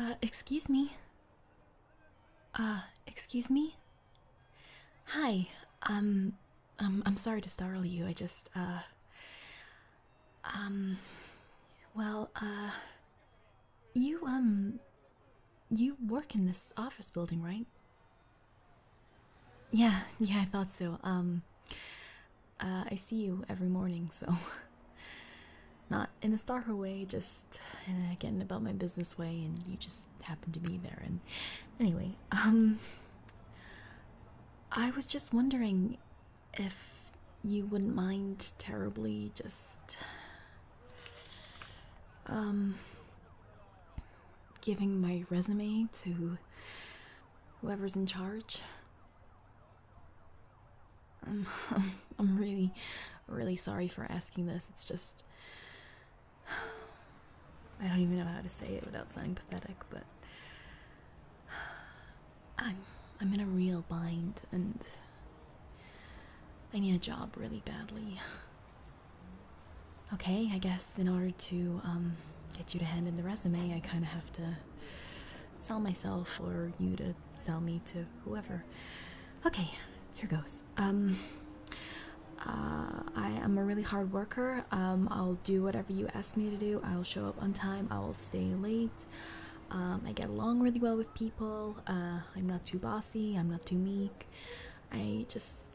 Uh, excuse me. Uh, excuse me? Hi, um, um, I'm sorry to startle you, I just, uh, um, well, uh, you, um, you work in this office building, right? Yeah, yeah, I thought so. Um, uh, I see you every morning, so. Not in a star way, just uh, getting about my business way, and you just happen to be there. And anyway, um, I was just wondering if you wouldn't mind terribly just um, giving my resume to whoever's in charge. I'm, I'm, I'm really, really sorry for asking this. It's just. I don't even know how to say it without sounding pathetic, but. I'm, I'm in a real bind, and I need a job really badly. Okay, I guess in order to um, get you to hand in the resume, I kind of have to sell myself or you to sell me to whoever. Okay, here goes. Um, uh, I am a really hard worker. Um, I'll do whatever you ask me to do. I'll show up on time. I will stay late. Um, I get along really well with people. Uh, I'm not too bossy. I'm not too meek. I just.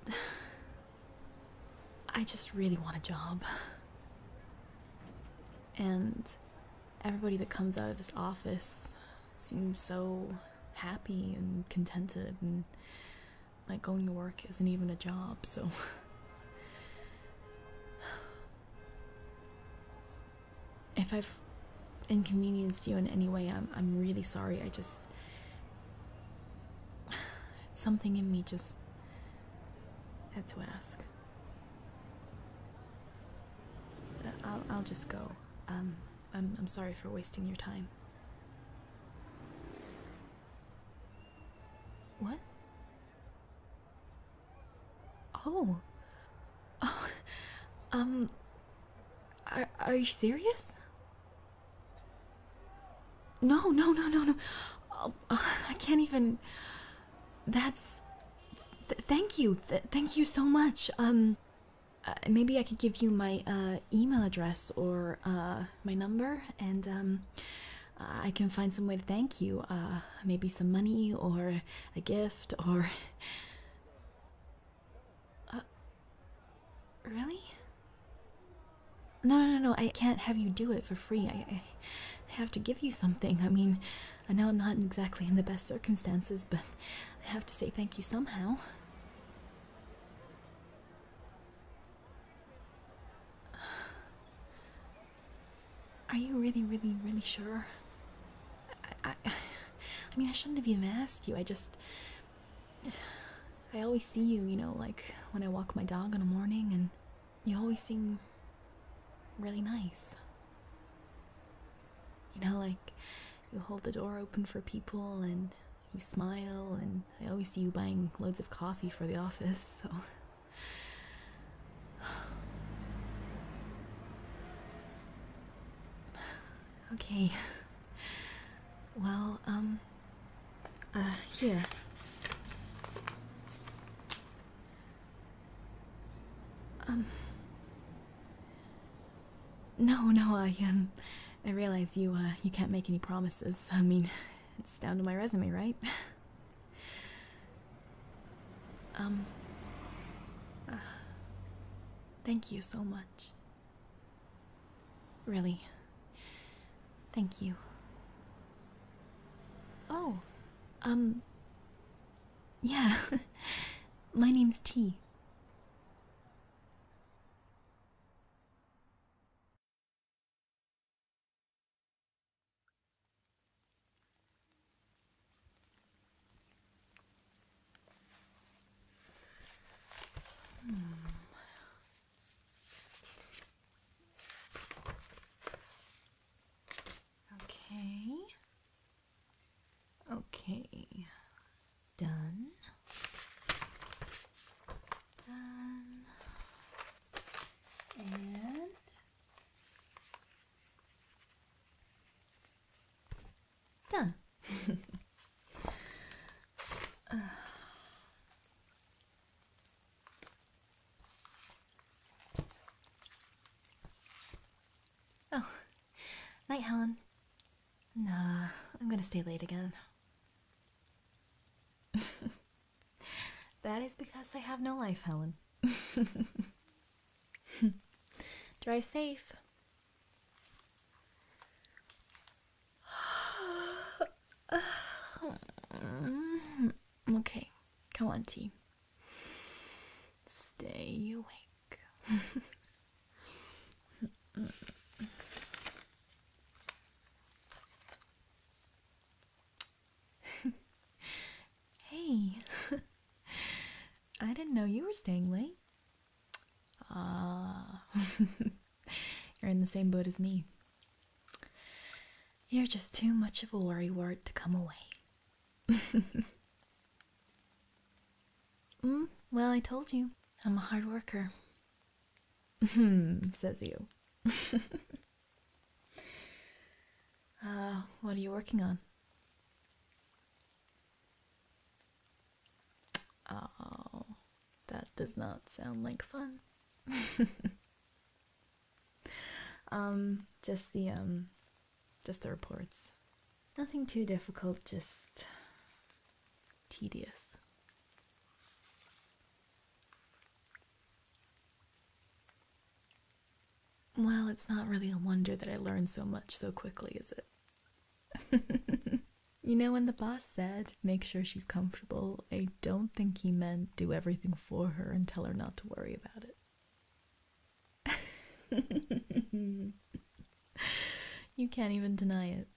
I just really want a job. And everybody that comes out of this office seems so happy and contented, and like going to work isn't even a job, so. If I've inconvenienced you in any way, I'm I'm really sorry. I just something in me just had to ask. Uh, I'll, I'll just go. Um, I'm, I'm sorry for wasting your time. What? Oh. Oh. Um. Are, you serious? No, no, no, no, no. Oh, I can't even. That's. thank you. thank you so much. Um, uh, maybe I could give you my uh, email address or uh, my number, and um, I can find some way to thank you. maybe some money or a gift or. Uh, really? No, no, no, no, I can't have you do it for free. I, have to give you something. I mean, I know I'm not exactly in the best circumstances, but I have to say thank you somehow. Are you really, really, really sure? I, I mean, I shouldn't have even asked you. I just, I always see you, you know, like when I walk my dog in the morning, and you always seem really nice. You know, like you hold the door open for people and you smile, and I always see you buying loads of coffee for the office, so. Okay. Well, um, uh, here. Um. No, no, I um, I realize you uh, you can't make any promises. I mean, it's down to my resume, right? um. Uh, thank you so much. Really. Thank you. Oh, um, yeah. My name's T. Okay. Okay. Done. Done. And Done. Oh, night, Helen. Nah, I'm gonna stay late again. that is because I have no life, Helen. Drive safe. okay, come on, T. Stay awake. hey, I didn't know you were staying late. Ah, you're in the same boat as me. You're just too much of a worrywart to come away. Mm, well, I told you, I'm a hard worker. says you. uh, what are you working on? Oh, that does not sound like fun. um, just the um, just the reports. Nothing too difficult, just tedious. Well, it's not really a wonder that I learned so much so quickly, is it? you know, when the boss said, make sure she's comfortable, I don't think he meant do everything for her and tell her not to worry about it. you can't even deny it.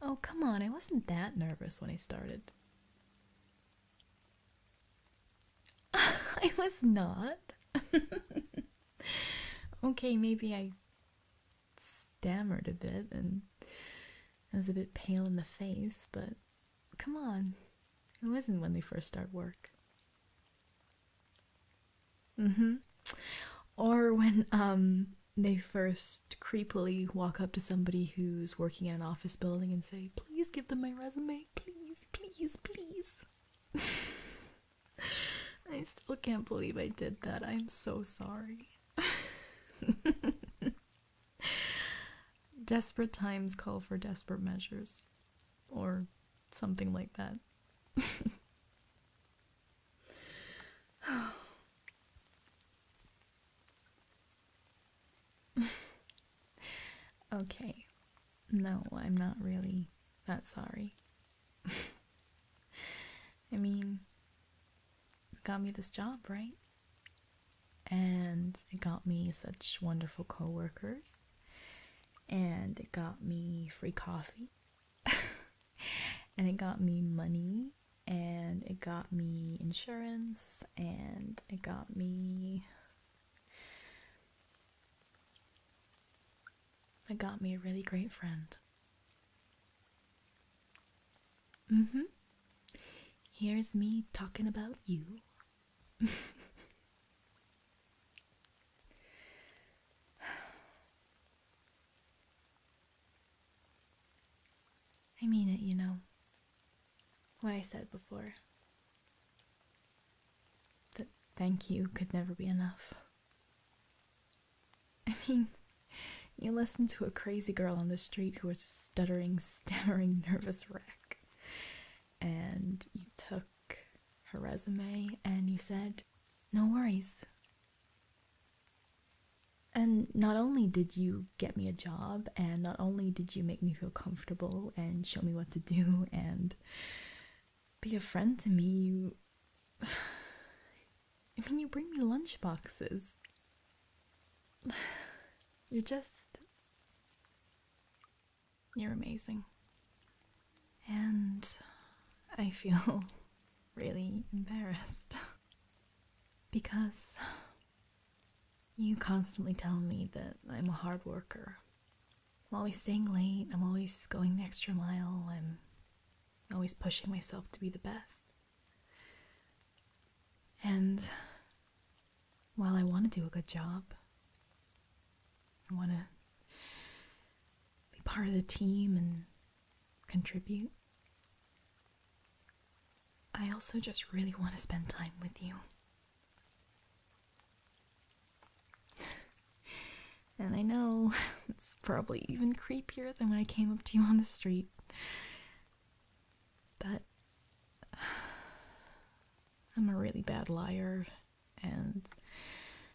Oh, come on, I wasn't that nervous when I started. I was not. okay, maybe I stammered a bit and I was a bit pale in the face, but come on. It wasn't when they first start work. Mm-hmm. Or when um they first creepily walk up to somebody who's working in an office building and say, please give them my resume, please, please, please. I still can't believe I did that. I'm so sorry. desperate times call for desperate measures, or something like that. okay, no, I'm not really that sorry. I mean, it got me this job, right? And it got me such wonderful coworkers, and it got me free coffee, and it got me money, and it got me insurance, and it got me I got me a really great friend. Mm hmm. Here's me talking about you. I mean it, you know. What I said before. That thank you could never be enough. I mean, you listened to a crazy girl on the street who was a stuttering, stammering, nervous wreck, and you took her resume and you said, No worries. And not only did you get me a job, and not only did you make me feel comfortable and show me what to do, and be a friend to me, you. I mean, you bring me lunch boxes. You're just. You're amazing. And I feel really embarrassed. because you constantly tell me that I'm a hard worker I'm always staying late, I'm always going the extra mile, and always pushing myself to be the best. And while I want to do a good job, I want to be part of the team and contribute, I also just really want to spend time with you and I know it's probably even creepier than when I came up to you on the street. But I'm a really bad liar, and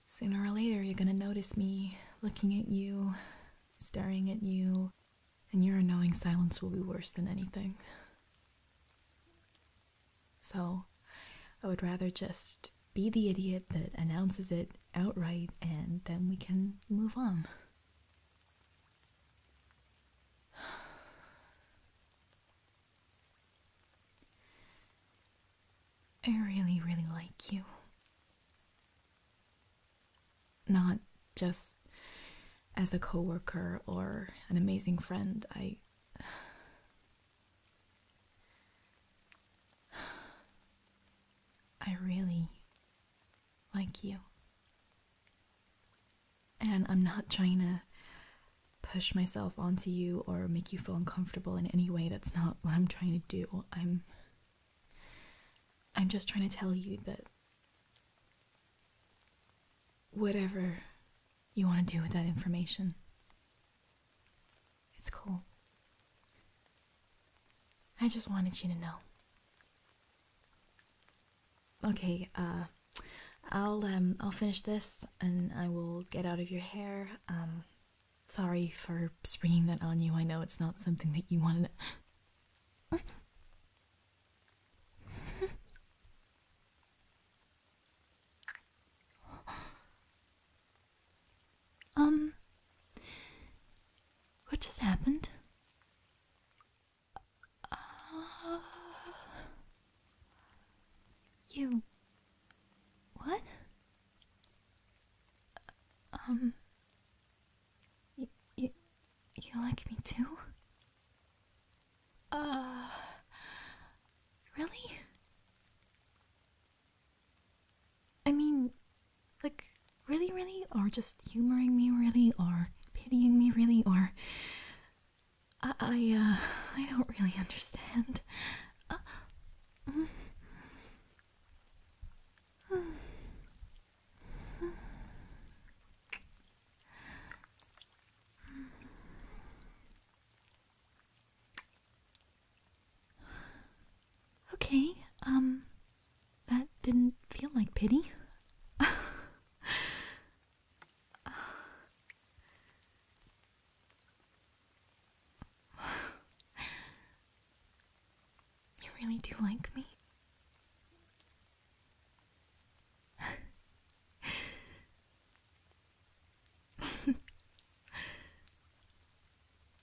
sooner or later you're gonna notice me looking at you, staring at you, and your annoying silence will be worse than anything. So, I would rather just be the idiot that announces it outright and then we can move on. I really, really like you. Not just as a coworker or an amazing friend. I I really like you. And I'm not trying to push myself onto you or make you feel uncomfortable in any way. That's not what I'm trying to do. I'm I'm just trying to tell you that whatever you want to do with that information it's cool. I just wanted you to know. Okay, uh I'll um I'll finish this and I will get out of your hair. Um sorry for springing that on you. I know it's not something that you wanted. To... Um, what just happened? Uh, you. What? Um. You, you, you like me too? Ah, Really? I mean, like, really, really? Or just humoring me, really? Or pitying me, really? Or. I, uh, I, don't really understand. Uh, mm. Okay, um, that didn't feel like pity. You really do like me.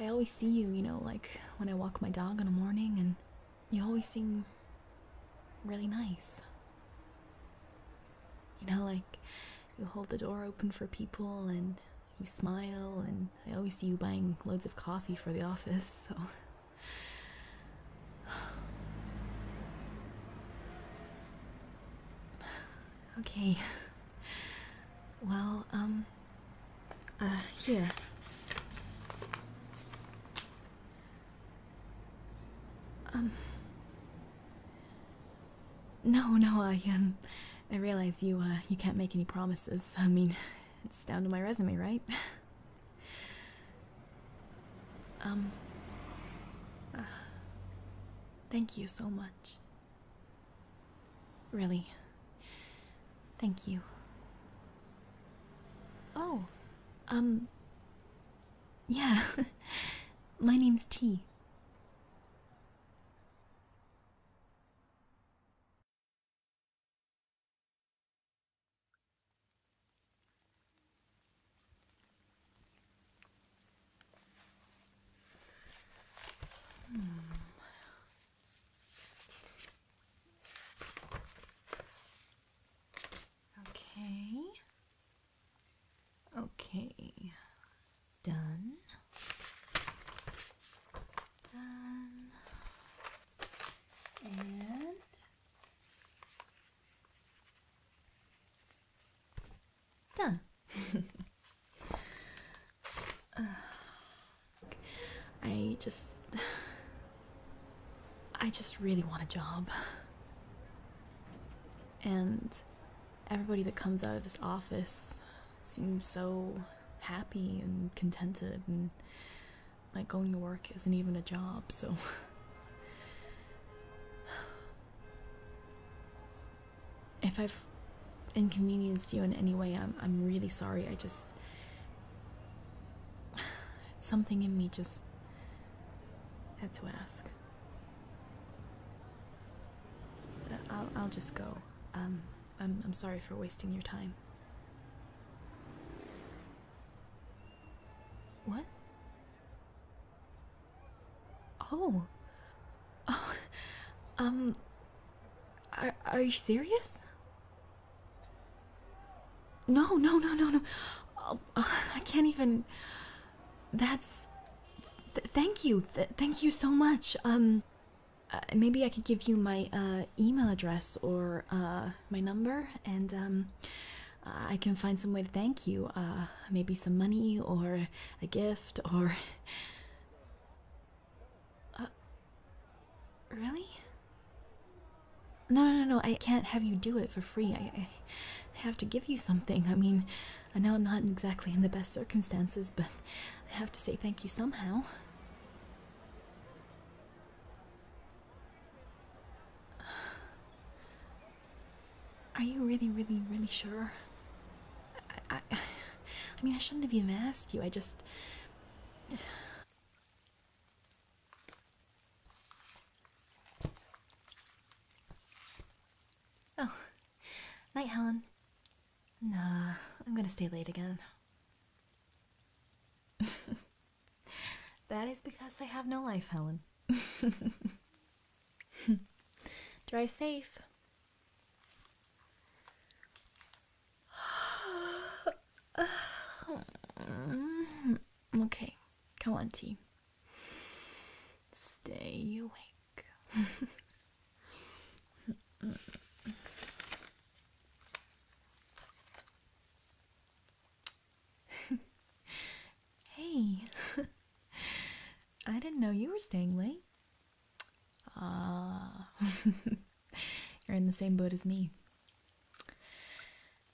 I always see you, you know, like when I walk my dog in the morning and you always seem really nice. You know, like you hold the door open for people and you smile, and I always see you buying loads of coffee for the office, so. okay. Well, um, uh, yeah. Um. No, no, I um, I realize you uh, you can't make any promises. I mean, it's down to my resume, right? um. Uh, thank you so much. Really. Thank you. Oh, um, yeah, my name's T. Hmm. Okay. Okay, done. Done. And done. I just I just really want a job. And everybody that comes out of this office seems so happy and contented, and like going to work isn't even a job, so. if I've inconvenienced you in any way, I'm, I'm really sorry. I just. Something in me just had to ask. Uh, I'll, I'll just go. Um, I'm, I'm sorry for wasting your time. What? Oh. Oh. Um. Are, are you serious? No, no, no, no, no. Oh, I can't even. That's. thank you. thank you so much. Um, uh, maybe I could give you my uh, email address or uh, my number, and um, I can find some way to thank you. Uh, maybe some money or a gift or. really? No, no, no, I can't have you do it for free. I, I, have to give you something. I mean, I know I'm not exactly in the best circumstances, but I have to say thank you somehow. Are you really, really, really sure? I, I mean, I shouldn't have even asked you. I just. Oh, night, Helen. Nah, I'm gonna stay late again. that is because I have no life, Helen. Drive safe. okay, come on, T. Stay awake. hey, I didn't know you were staying late. Ah, you're in the same boat as me.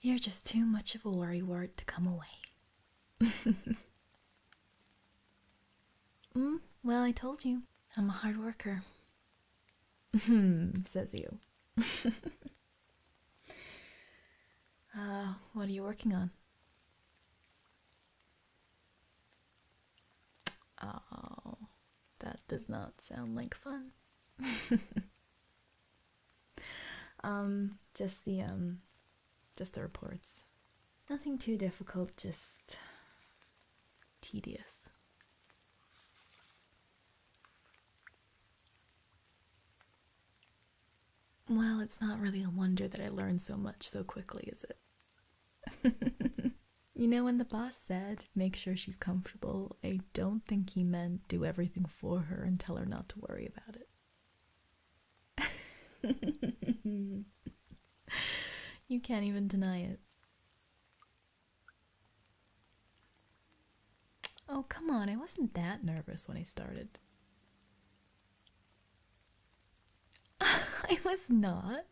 You're just too much of a worrywart to come away. Mm, well, I told you, I'm a hard worker. Hmm, says you. Uh, what are you working on? Oh, that does not sound like fun. um just the um just the reports nothing too difficult just tedious well it's not really a wonder that i learned so much so quickly is it you know when the boss said make sure she's comfortable i don't think he meant do everything for her and tell her not to worry about it you can't even deny it. Oh, come on, I wasn't that nervous when I started. I was not.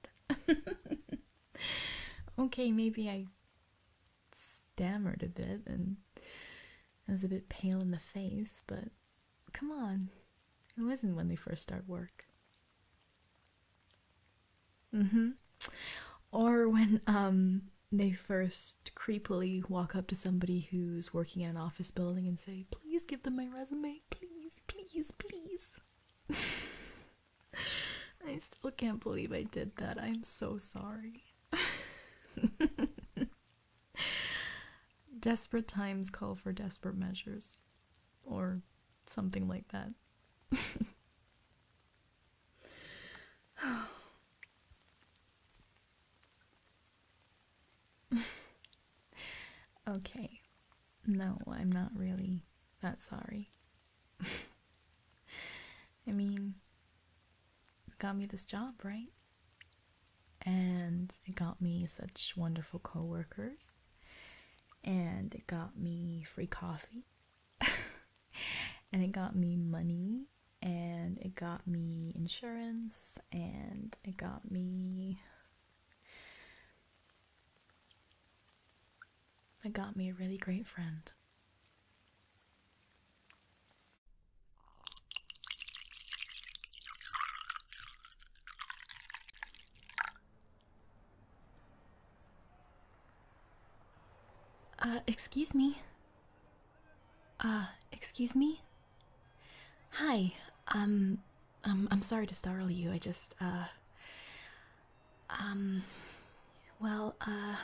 okay, maybe I stammered a bit and I was a bit pale in the face, but Come on. it was isn't when they first start work? Mm-hmm. Or when um they first creepily walk up to somebody who's working in an office building and say, please give them my resume. Please, please, please. I still can't believe I did that. I'm so sorry. Desperate times call for desperate measures, or something like that. okay. No, I'm not really that sorry. I mean, got me this job, right? and it got me such wonderful coworkers. and it got me free coffee and it got me money and it got me insurance and it got me it got me a really great friend uh, excuse me. Uh, excuse me? Hi, um, um, I'm sorry to startle you, I just, uh, um, well, uh,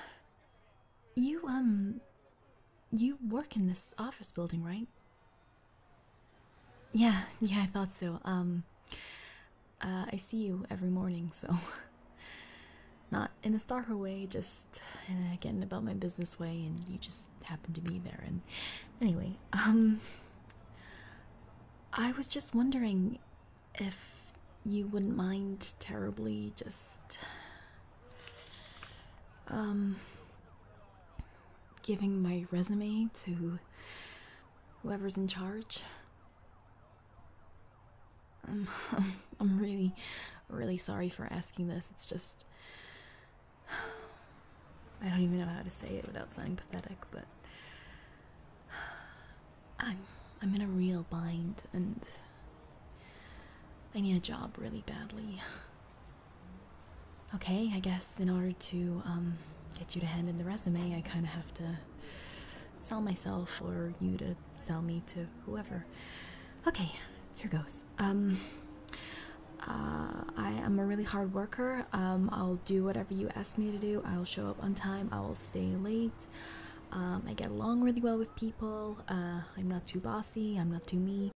you, um, you work in this office building, right? Yeah, yeah, I thought so. Um, uh, I see you every morning, so. Not in a stalker way, just uh, getting about my business way, and you just happen to be there. And anyway, um, I was just wondering if you wouldn't mind terribly just, um, giving my resume to whoever's in charge. I'm, I'm, really, really sorry for asking this. It's just. I don't even know how to say it without sounding pathetic, but. I'm, I'm in a real bind and. I need a job really badly. Okay, I guess in order to um, get you to hand in the resume, I kind of have to sell myself or you to sell me to whoever. Okay, here goes. Um, uh, I am a really hard worker. Um, I'll do whatever you ask me to do. I'll show up on time. I will stay late. I get along really well with people. Uh, I'm not too bossy. I'm not too me.